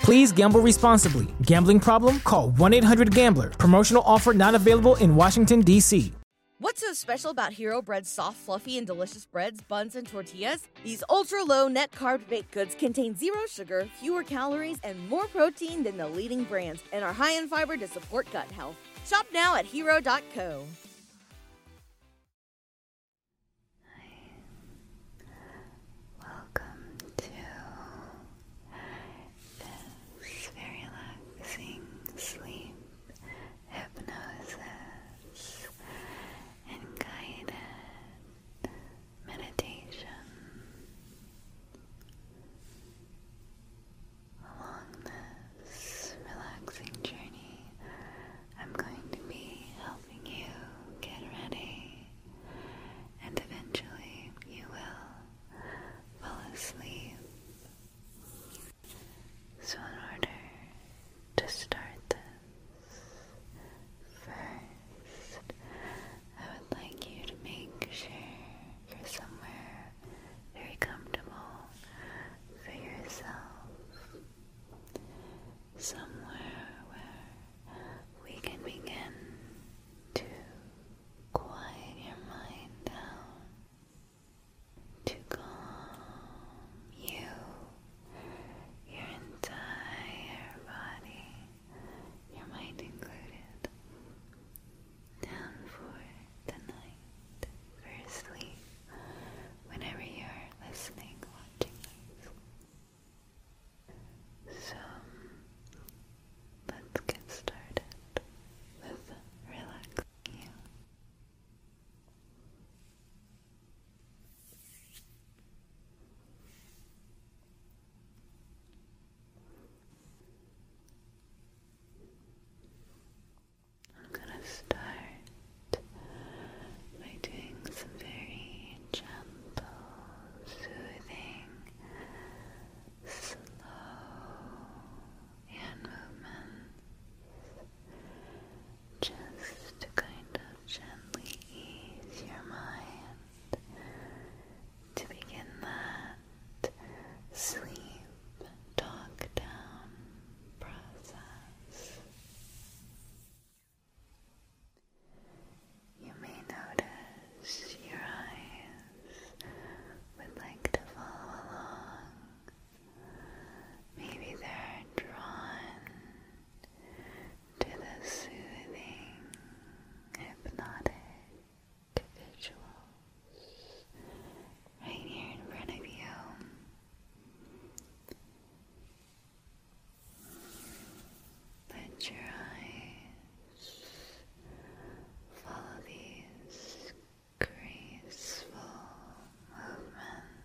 Please gamble responsibly. Gambling problem? Call 1 800 Gambler. Promotional offer not available in Washington, D.C. What's so special about Hero Bread's soft, fluffy, and delicious breads, buns, and tortillas? These ultra low net carb baked goods contain zero sugar, fewer calories, and more protein than the leading brands, and are high in fiber to support gut health. Shop now at hero.co. Welcome to this very relaxing sleep hypnosis and guided meditation. Along this relaxing journey, I'm going to be helping you get ready, and eventually you will fall asleep. So, in order to start this, first I would like you to make sure you're somewhere very comfortable for yourself somewhere where we can begin to quiet your mind down, to calm you, your entire body, your mind included, down for the night, for sleep, whenever you're listening, watching this. So let's get started with relaxing you. I'm going to start by doing some very gentle, soothing, slow hand movements just to kind of gently ease your mind to begin that sleep talk down process. You may notice your eyes would like to follow along. Maybe they're drawn to the soothing, hypnotic visuals right here in front of you. Let your eyes follow these graceful movements,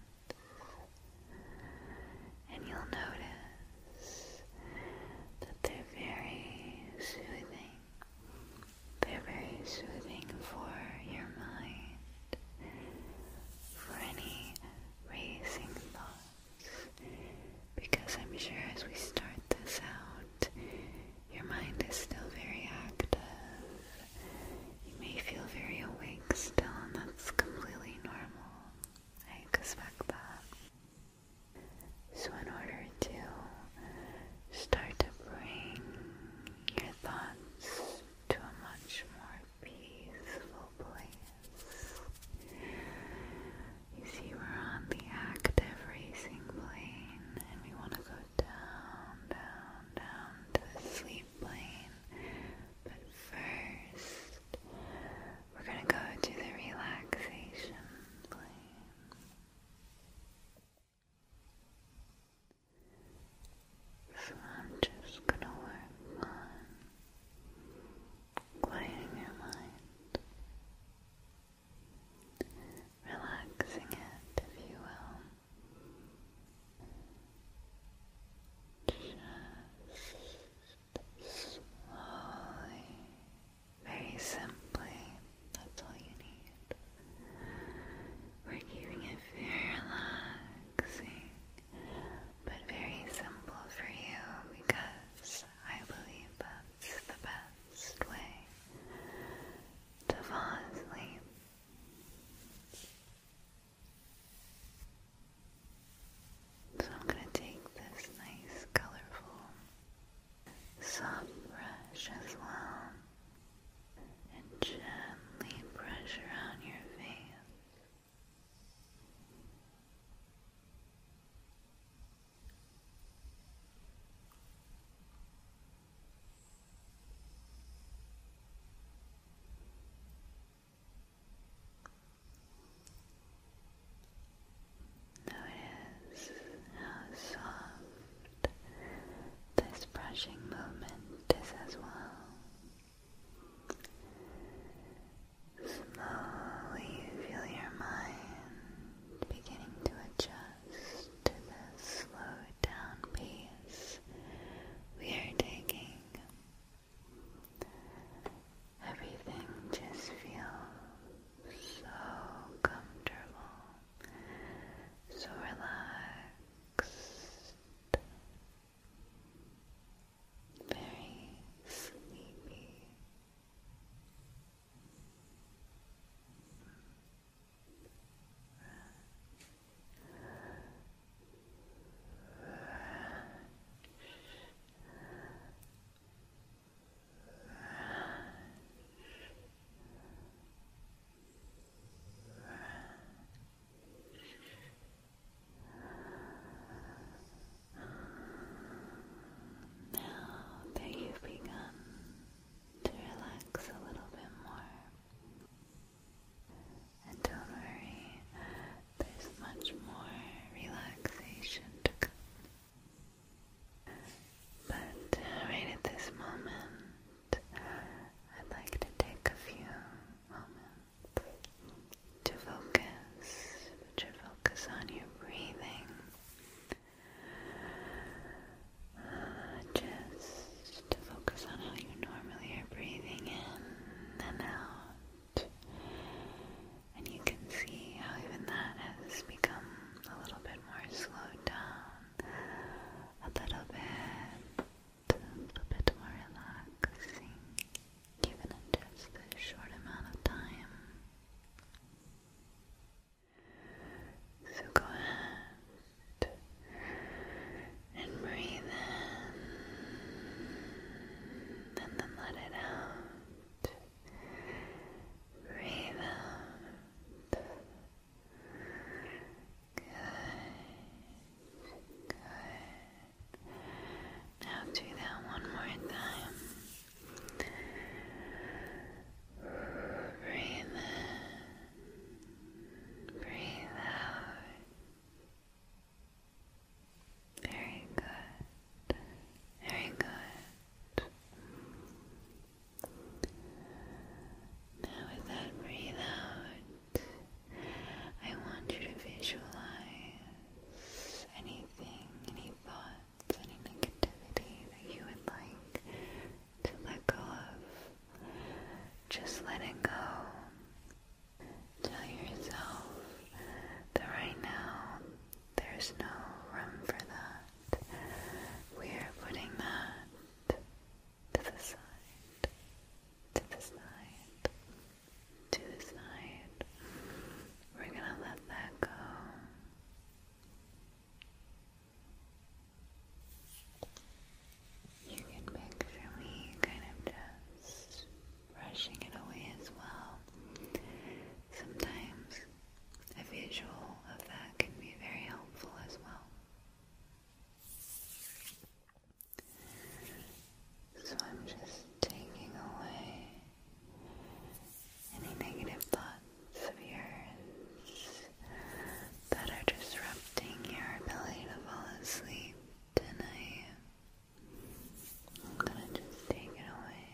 and you'll notice that they're very soothing. They're very soothing for your mind, for any racing thoughts. Because I'm sure as we start this out, your mind is still very active. You may feel very awake still, and that's completely normal. I expect that. So, in order to start to bring your thoughts to a much more peaceful place, you see, we're on the active racing plane, and we want to go down, down, down to the sleep plane. But first, we're going to go to the relaxation plane. So I'm just gonna work on quieting your mind, relaxing it, if you will. slowly, very simply, that's all you need. We're keeping it very relaxing but very simple for you because I believe that's the best way to fall asleep. So I'm going to take this nice colorful soft brush as well and gently brush around your face Notice how soft this brushing movement is as well. Slowly you feel your mind beginning to adjust to the slow down pace we are taking. Everything just feels so comfortable, so relaxed, very sleepy. Now that you've begun to relax a little bit more, and don't worry, there's much more relaxation to come. But right at this moment, I'd like to take a few moments to focus. Put your focus on your breathing. Uh, just to focus on how you normally are breathing in and out. And you can see how even that has become a little bit more slowed down, a little bit, a little bit more relaxing even in just a short amount of time. So go ahead and breathe in and then let it out. Breathe out. Good. Good. Now do that one more time. Breathe in, breathe out. Very good, very good. Now, with that breathe out, I want you to visualize anything, any thoughts, any negativity that you would like to let go of. Just let it go. Tell yourself that right now there's no room for that. We are putting that to the side. To the side to the side. We're gonna let that go. You can picture me kind of just brushing it away as well. Sometimes a visual of that can be very helpful as well. So I'm just taking away any negative thoughts of yours that are disrupting your ability to fall asleep tonight. I'm gonna just take it away.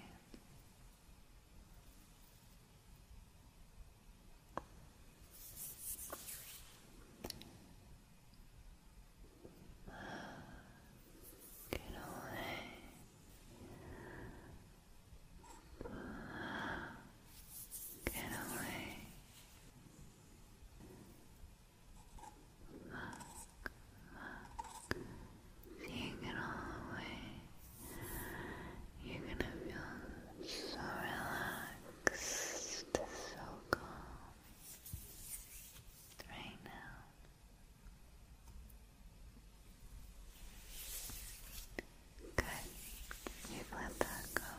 Get away. Get away. You're gonna feel so relaxed, so calm right now. Good. you let that go.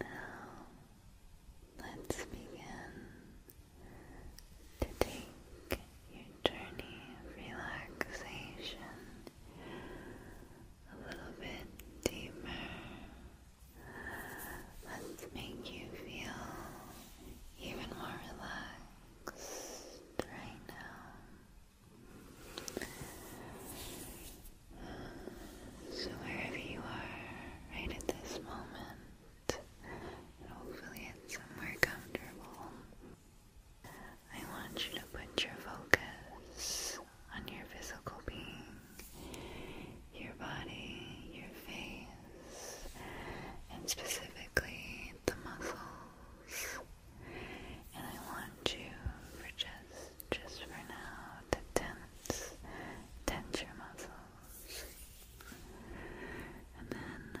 Now, let's begin to take your journey of relaxation a little bit deeper. Let's make you feel even more relaxed right now. So, wherever you are right at this moment, hopefully it's somewhere comfortable, I want you to put your focus on your physical being, your body, your face, and specifically the muscles. And I want you for just just for now to tense, tense your muscles. And then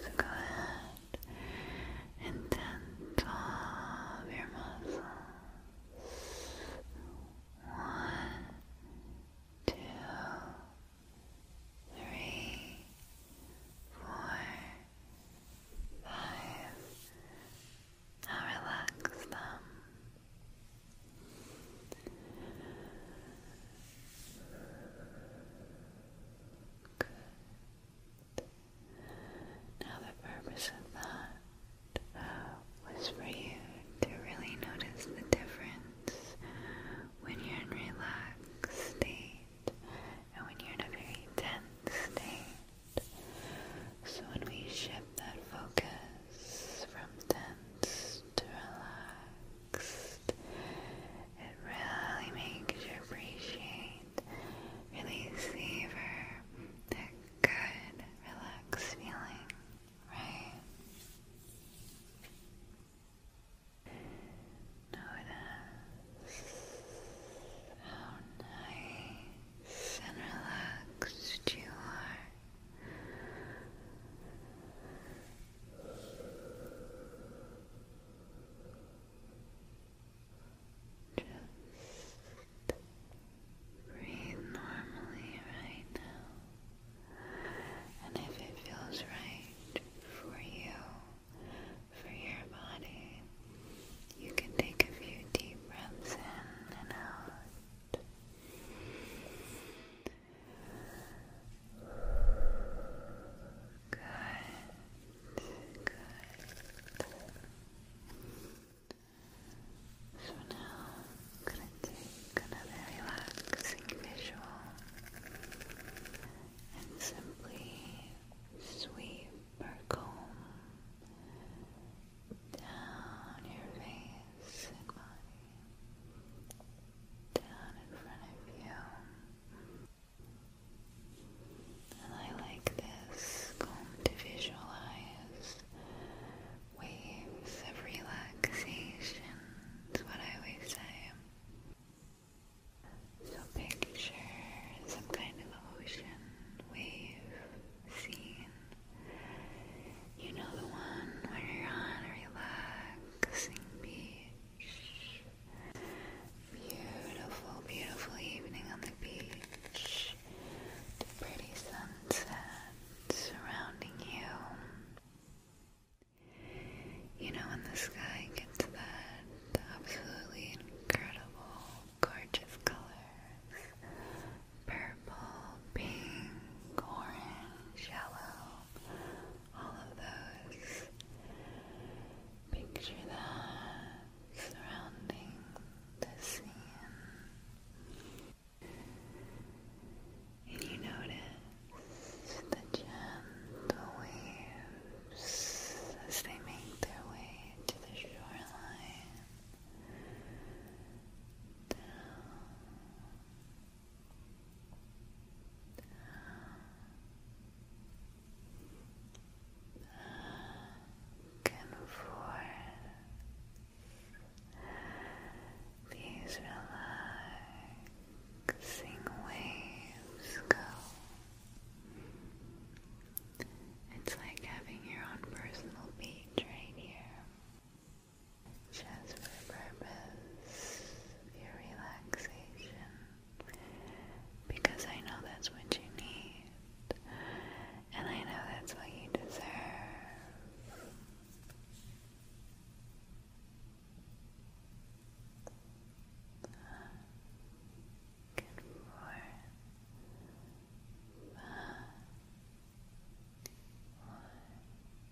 So go ahead and tense all of your muscles. One, two, three, four, five. Now relax them. Good. Now, the purpose of that uh, was for you to really notice the difference when you're in relaxed state and when you're in a very tense state. So, when we shift that focus from tense relaxed. It really makes you appreciate, really savor that good, relaxed feeling, right? Notice how nice and relaxed you are. Just breathe normally right now. And if it feels right for you, for your body, you can take a few deep breaths in and out. Good. Good. So now I'm gonna take another relaxing visual and simply sweep or comb down your face and body down in front of you. And I like this comb to visualize waves of relaxation, is what I always say. So picture some kind of ocean wave scene. You know the one where you're on a relaxing beach Beautiful, beautiful evening on the beach. The pretty sunset surrounding you. You know, when the sky gets that absolutely incredible, gorgeous colors purple, pink, orange, yellow, all of those. Picture that surrounding the scene. And you notice the gentle waves as they make their way to the shoreline. Come These relaxing waves go. It's like having your own personal beach right here. Just for the purpose your relaxation because I know that's what you need and I know that's what you deserve. Good four. Five. One.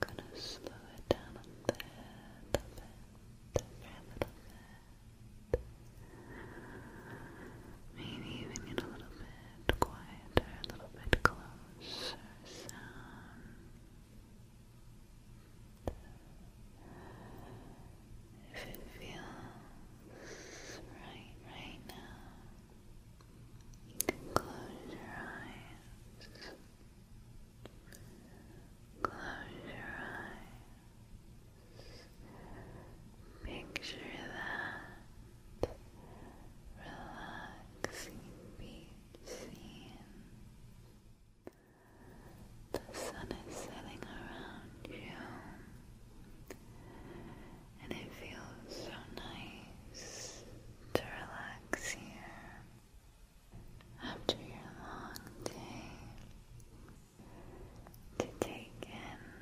Gonna slow it down a bit, a little bit. Maybe even get a little bit quieter, a little bit closer if it feels right right now, you close your eyes. Close your eyes. Picture that relaxing beach scene. The sun is setting around you, and it feels so nice to relax here after your long day to take in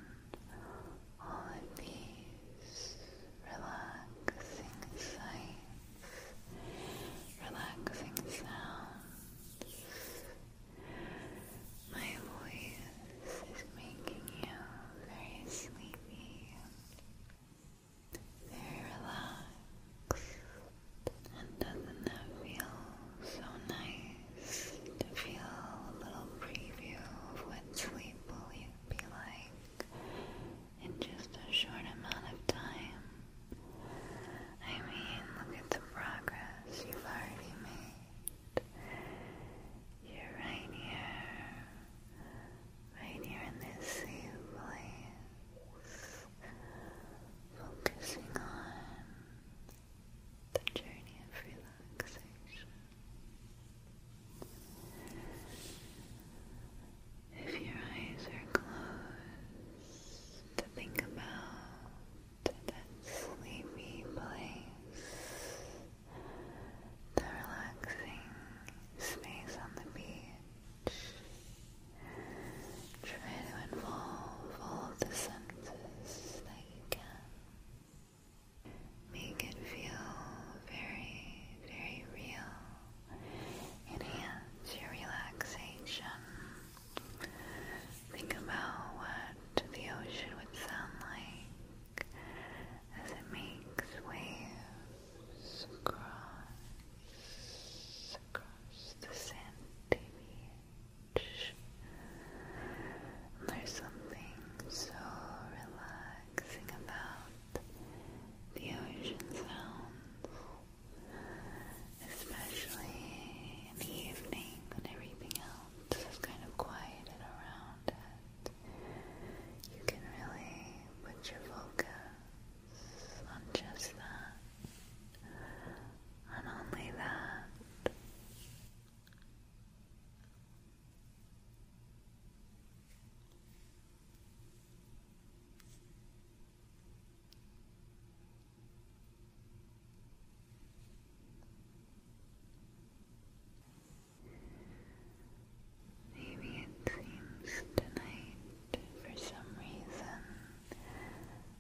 all of these relaxing sights, relaxing sounds. My voice is making you very sleepy, very relaxed, and doesn't that feel so nice to feel a little preview of what sleep will be like in just a short amount of time? I mean, look at the progress you've already made. You're right here, right here in this safe place, focusing on the journey of relaxation. If your eyes are closed, to think about to that sleepy place, the relaxing space on the beach. Try to involve all the senses that you can. Make it feel very, very real. Enhance your relaxation Think about what the ocean would sound like as it makes waves across, across the sandy beach. there's something so relaxing about the ocean sounds especially in the evening when everything else is kind of quieted around it. You can really put your focus on just that, on only that. Maybe it seems tonight, for some reason,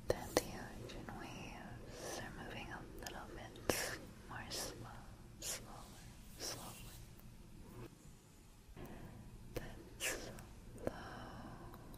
that the ocean waves are moving a little bit more slow, slower, slowly. That slow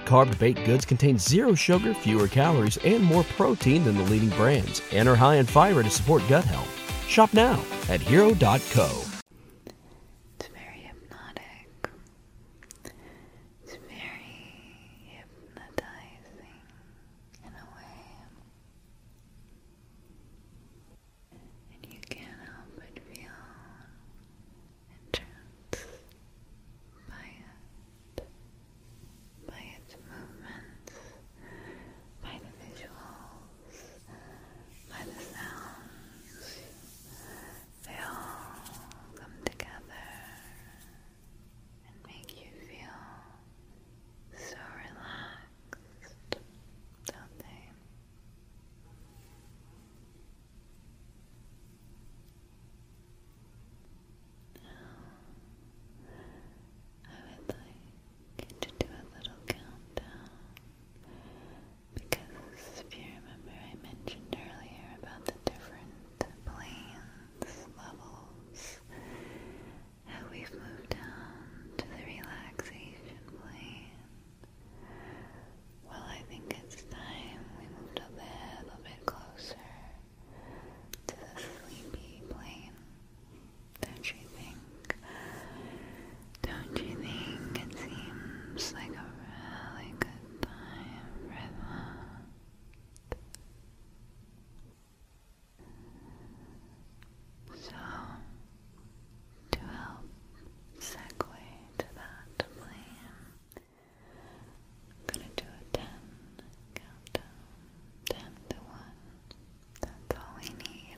carb baked goods contain zero sugar, fewer calories, and more protein than the leading brands, and are high in fiber to support gut health. Shop now at hero.co. It's very hypnotic. It's very hypnotizing in a way. And you can't help but feel entranced by it, by its movements, by the visuals, by the sounds. They all come together and make you feel so relaxed, don't they? Now, I would like to do a little countdown because if you remember, I mentioned earlier about the different planes, levels, how we've moved down to the relaxation plane. Well, I think it's time we moved a little bit closer to the sleepy plane. Don't you think? Don't you think it seems like a really good time for So, to help segue to that plane, I'm gonna do a 10 countdown, 10 to 1. That's all we need.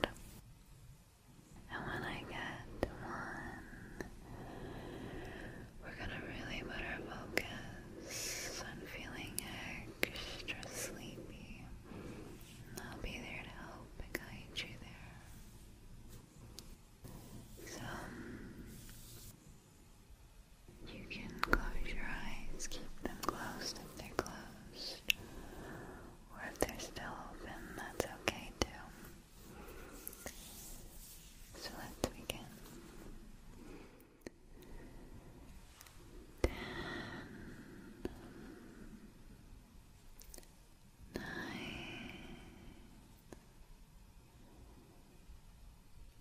And when I get 1, we're gonna really put our focus on feeling extra sleepy. I'll be there to help guide you there. So, you can close your eyes, keep them closed if they're closed, or if they're still open, that's okay too. So let's begin. Ten, nine,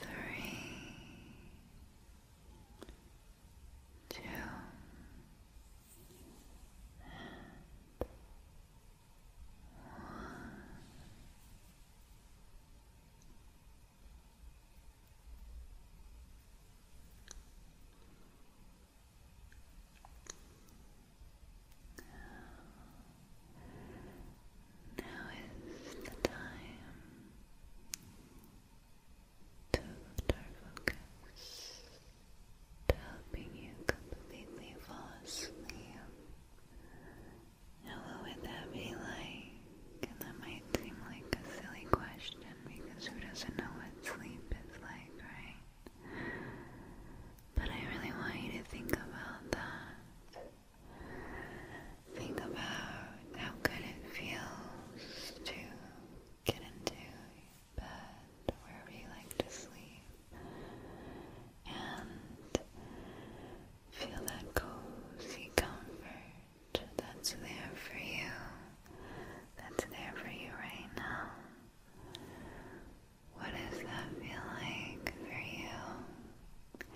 three, two, and one. Now is the time to lift focus to helping you completely fall asleep. Now, would that be like? And that might seem like a silly question because who doesn't know what sleep is like, right? But I really want you to think about that. Think about how good it feels to get into bed wherever you like to sleep and feel that cozy comfort that's there for you, that's there for you right now. What does that feel like for you?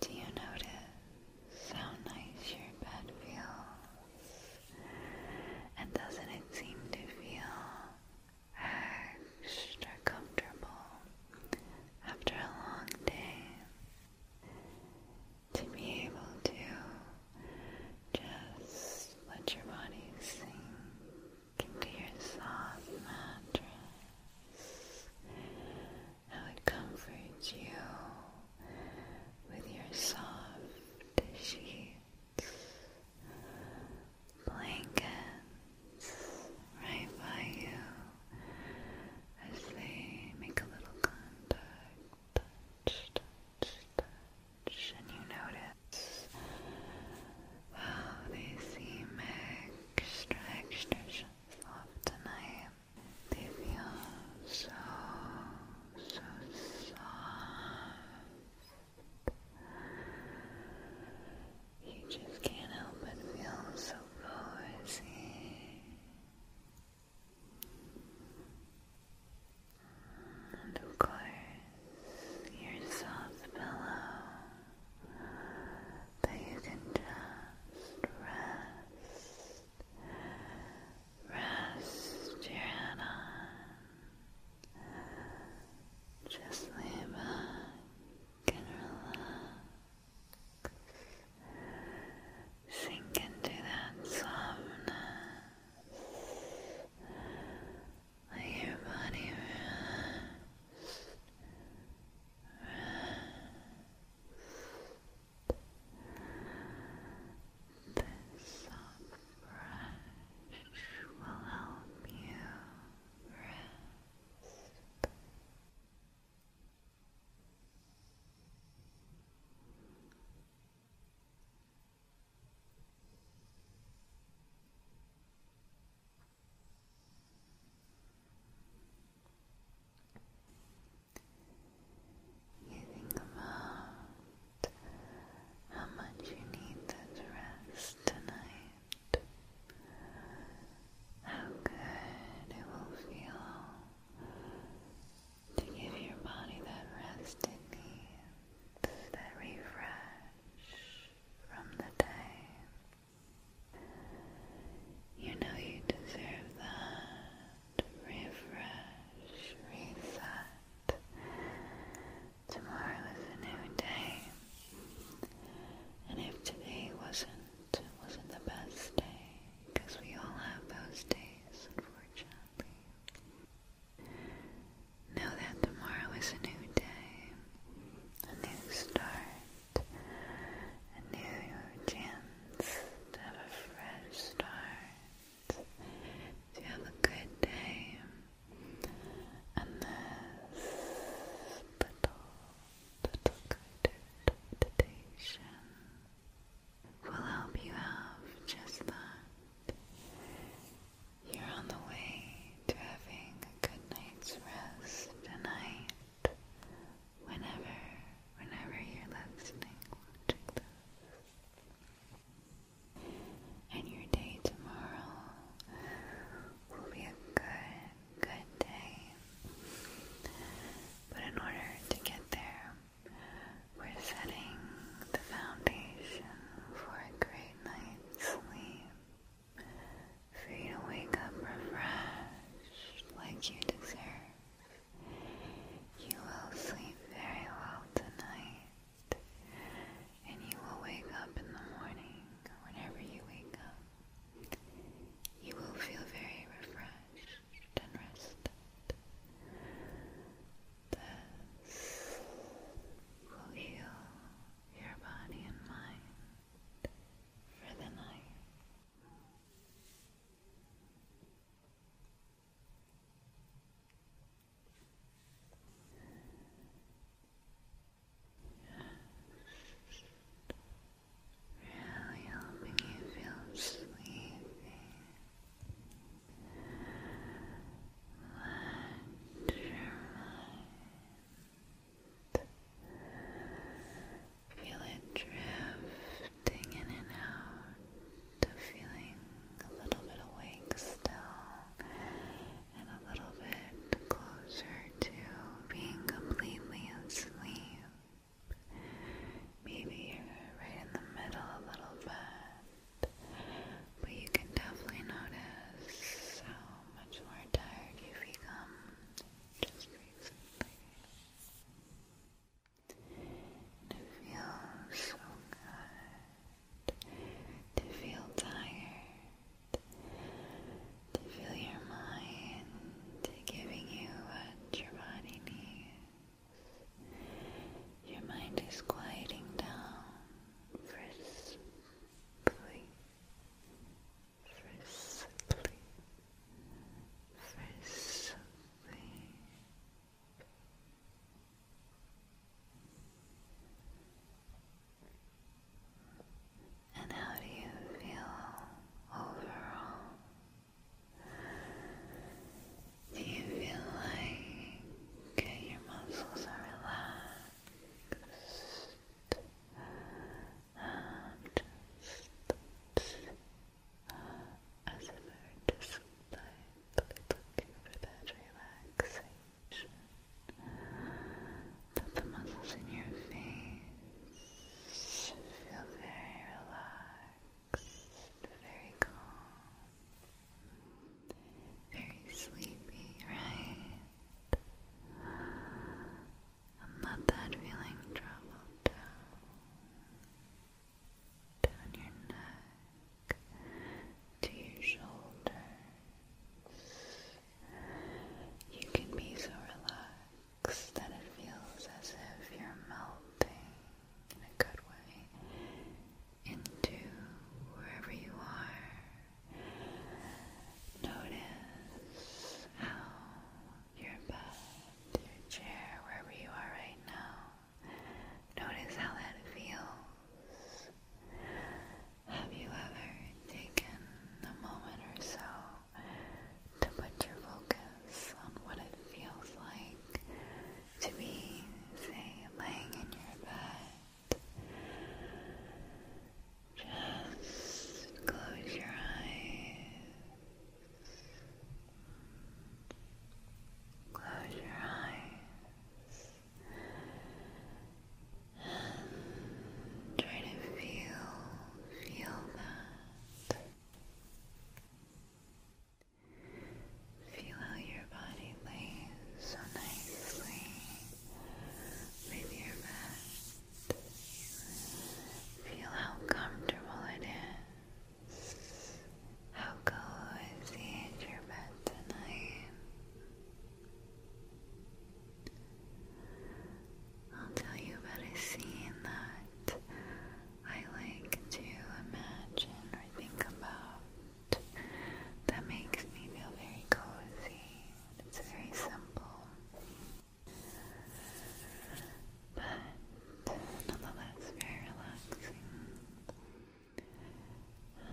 Do you notice how nice your bed feels? And doesn't it seem to feel extra comfortable after a long day? To be able to just let your body sink into your soft mattress how it comforts you with your soft sheets, blankets right by you as they make a little contact, touch, you notice wow, they seem extra, extra soft tonight. They feel so, so soft. You just can't help but feel so cozy. And of course, your soft pillow but you can just rest, rest your head on. Just lay back and relax. Sink into that softness. Let your body rest. This brush will help you rest. You think about how much you need that rest tonight. How good it will feel to give your body that rest it needs, that refresh from the day. You know you deserve that. Refresh, reset. Tomorrow is a new day. And if today wasn't wasn't the best day, because we all have those days, unfortunately. Know that tomorrow is a new day, a new start, a new chance to have a fresh start, to have a good day, and this little, little guided meditation will help you have just that. You're on the way to having a good night's rest tonight whenever, whenever you're listening, And your day tomorrow will be a good, good day. But in order to get there, we're setting the foundation for a great night's sleep, for you wake up refreshed like you deserve. You will sleep very well tonight, and you will wake up in the morning, whenever you wake up. You will feel very refreshed and rested. This will heal your body and mind for the night. Just really helping you feel sleepy. Let your mind Feel it drifting in and out, feeling a little bit awake still, and a little bit closer to being completely asleep. Maybe you're right in the middle a little bit, but you can definitely notice how much more tired you become just recently to feel so good, to feel tired, to feel your mind giving you what your body needs. Your mind is quieting down for sleep, for sleep. And how do you feel overall? Do you feel like your muscles are relaxed? Um, ASMR display, but looking for that relaxation that the muscles in your face feel very relaxed, very calm, very sleepy, right? let that feeling travel down down your neck to your shoulders. You can be so relaxed that it feels as if you're melting in a good way into wherever you are. Notice how your bed, your chair, wherever you are right now. Notice how that feels. Have you ever taken a moment or so to put your focus on what it feels like to be, say, laying in your bed? Just close your eyes. Close your eyes and try to feel, feel that. Feel how your body lays so nicely with your bed. Feel how comfortable it is. How cozy is your bed tonight? I'll tell you about a scene that I like to imagine or think about that makes me feel very cozy. It's very simple but nonetheless very relaxing. Uh,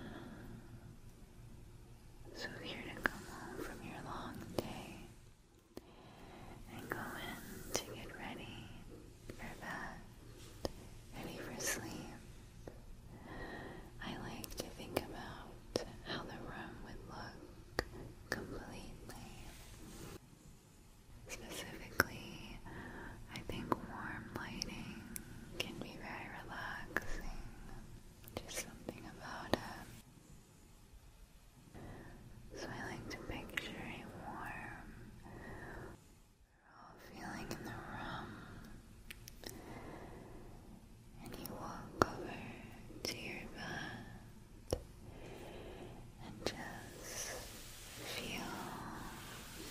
so if to come home from your long day and go in to get ready for bed, ready for sleep, I like to think about how the room would look completely Specifically, I think warm lighting can be very relaxing. Just something about it. So I like to picture it warm. feeling in the room. And you walk over to your bed and just feel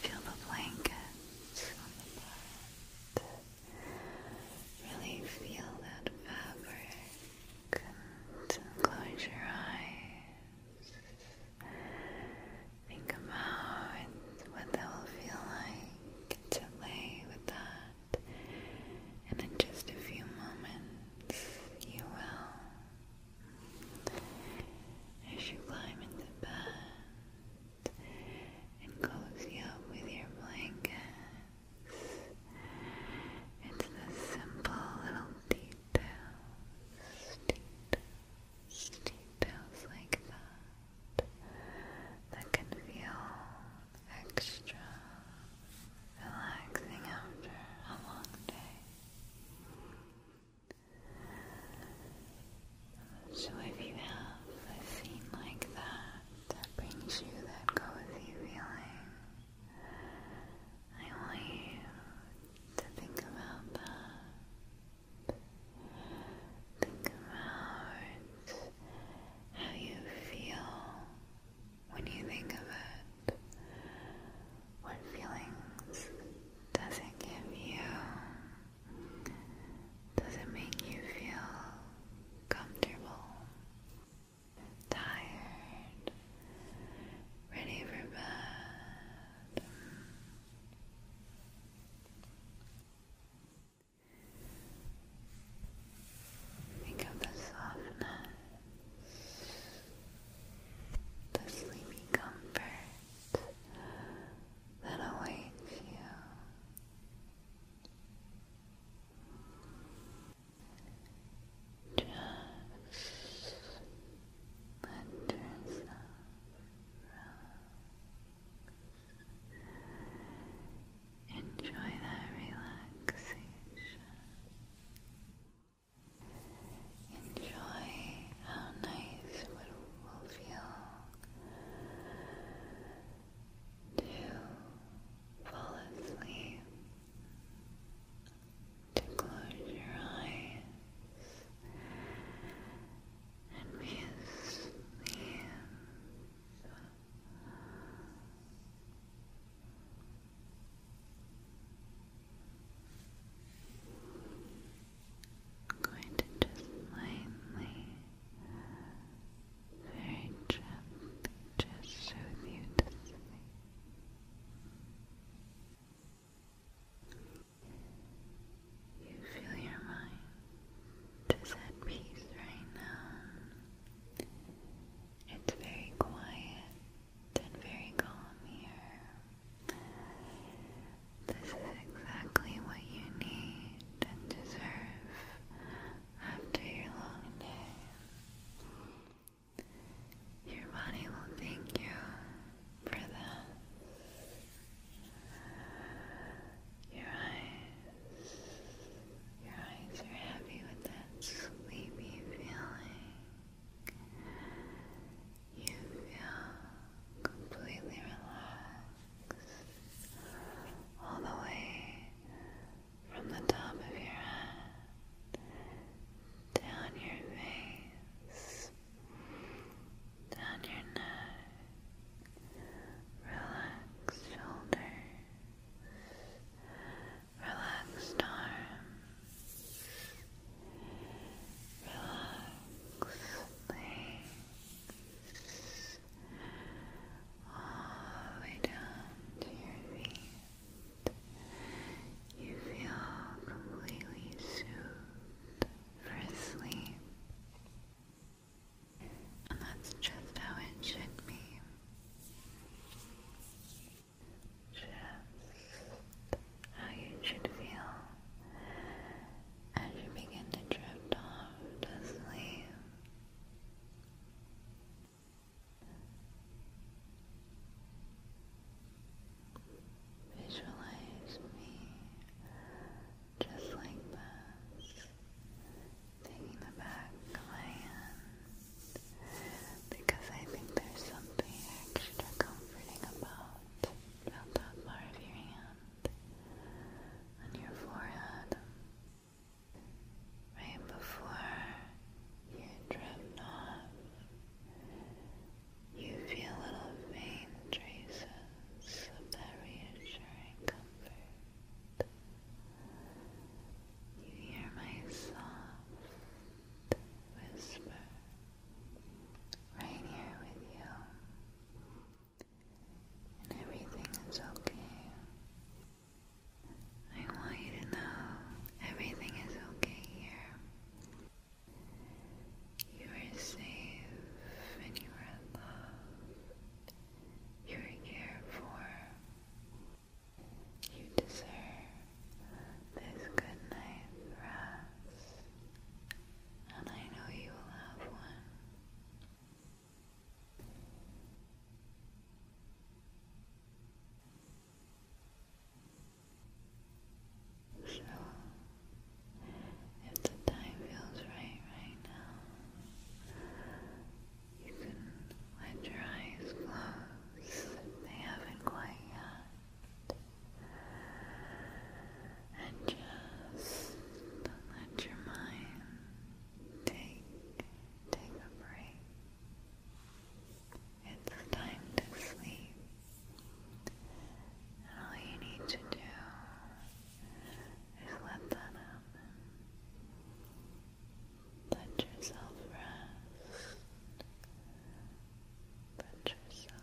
feel the blankets on the butt. Really feel that fabric and close your eyes. Think about what that will feel like to lay with that. And in just a few moments, you will as you climb into bed and cozy up with your blankets, it's the simple little details, details, like that that can feel extra relaxing after a long day. So if you have a scene like that that brings you that cozy feeling, I want you to think about that. Think about how you feel when you think of it. What feelings does not give you? Does not make you feel comfortable, tired, ready for bed? Think of the softness the sleepy comfort that awaits you. Just let yourself relax. Enjoy that relaxation. Enjoy how nice it will feel to fall asleep, to close your eyes and be asleep. I'm going to just lightly, very gently, just soothe you to You feel your mind just at peace right now. It's very quiet and very calm here. This is exactly what you need and deserve after your long day. Your body will thank you for that. Your eyes, your eyes are heavy with that sleepy feeling. You feel completely relaxed all the way from the top of your head down your face, down your neck. Relax shoulders, relaxed arms. Relax all the way down You feel completely soothed for sleep. And that's just how it should be just how you should feel as you begin to drift off sleep. Visualize me just like this, taking the back of because I think there's something extra comforting about out, felt that part of your hand on your forehead, right before you drift off. You feel little faint traces of that reassuring comfort. You hear my soft whisper right here with you, and everything is okay. I want you to know everything is okay here. You are safe and you are loved. You are cared for. You deserve this good rest, and I know you will have one. So, if the time feels right right now, you can let your eyes they haven't quite yet and just let your mind take take a break. It's time to sleep. And all you need to do is let that happen. Let yourself rest. Let yourself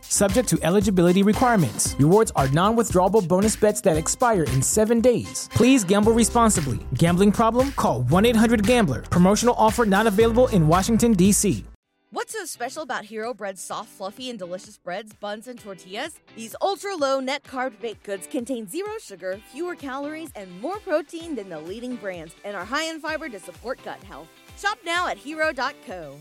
subject to eligibility requirements. Rewards are non withdrawable bonus bets that expire in seven days. Please gamble responsibly. Gambling problem? Call 1 800 Gambler. Promotional offer not available in Washington, D.C. What's so special about Hero Bread's soft, fluffy, and delicious breads, buns, and tortillas? These ultra low net carb baked goods contain zero sugar, fewer calories, and more protein than the leading brands, and are high in fiber to support gut health. Shop now at hero.co.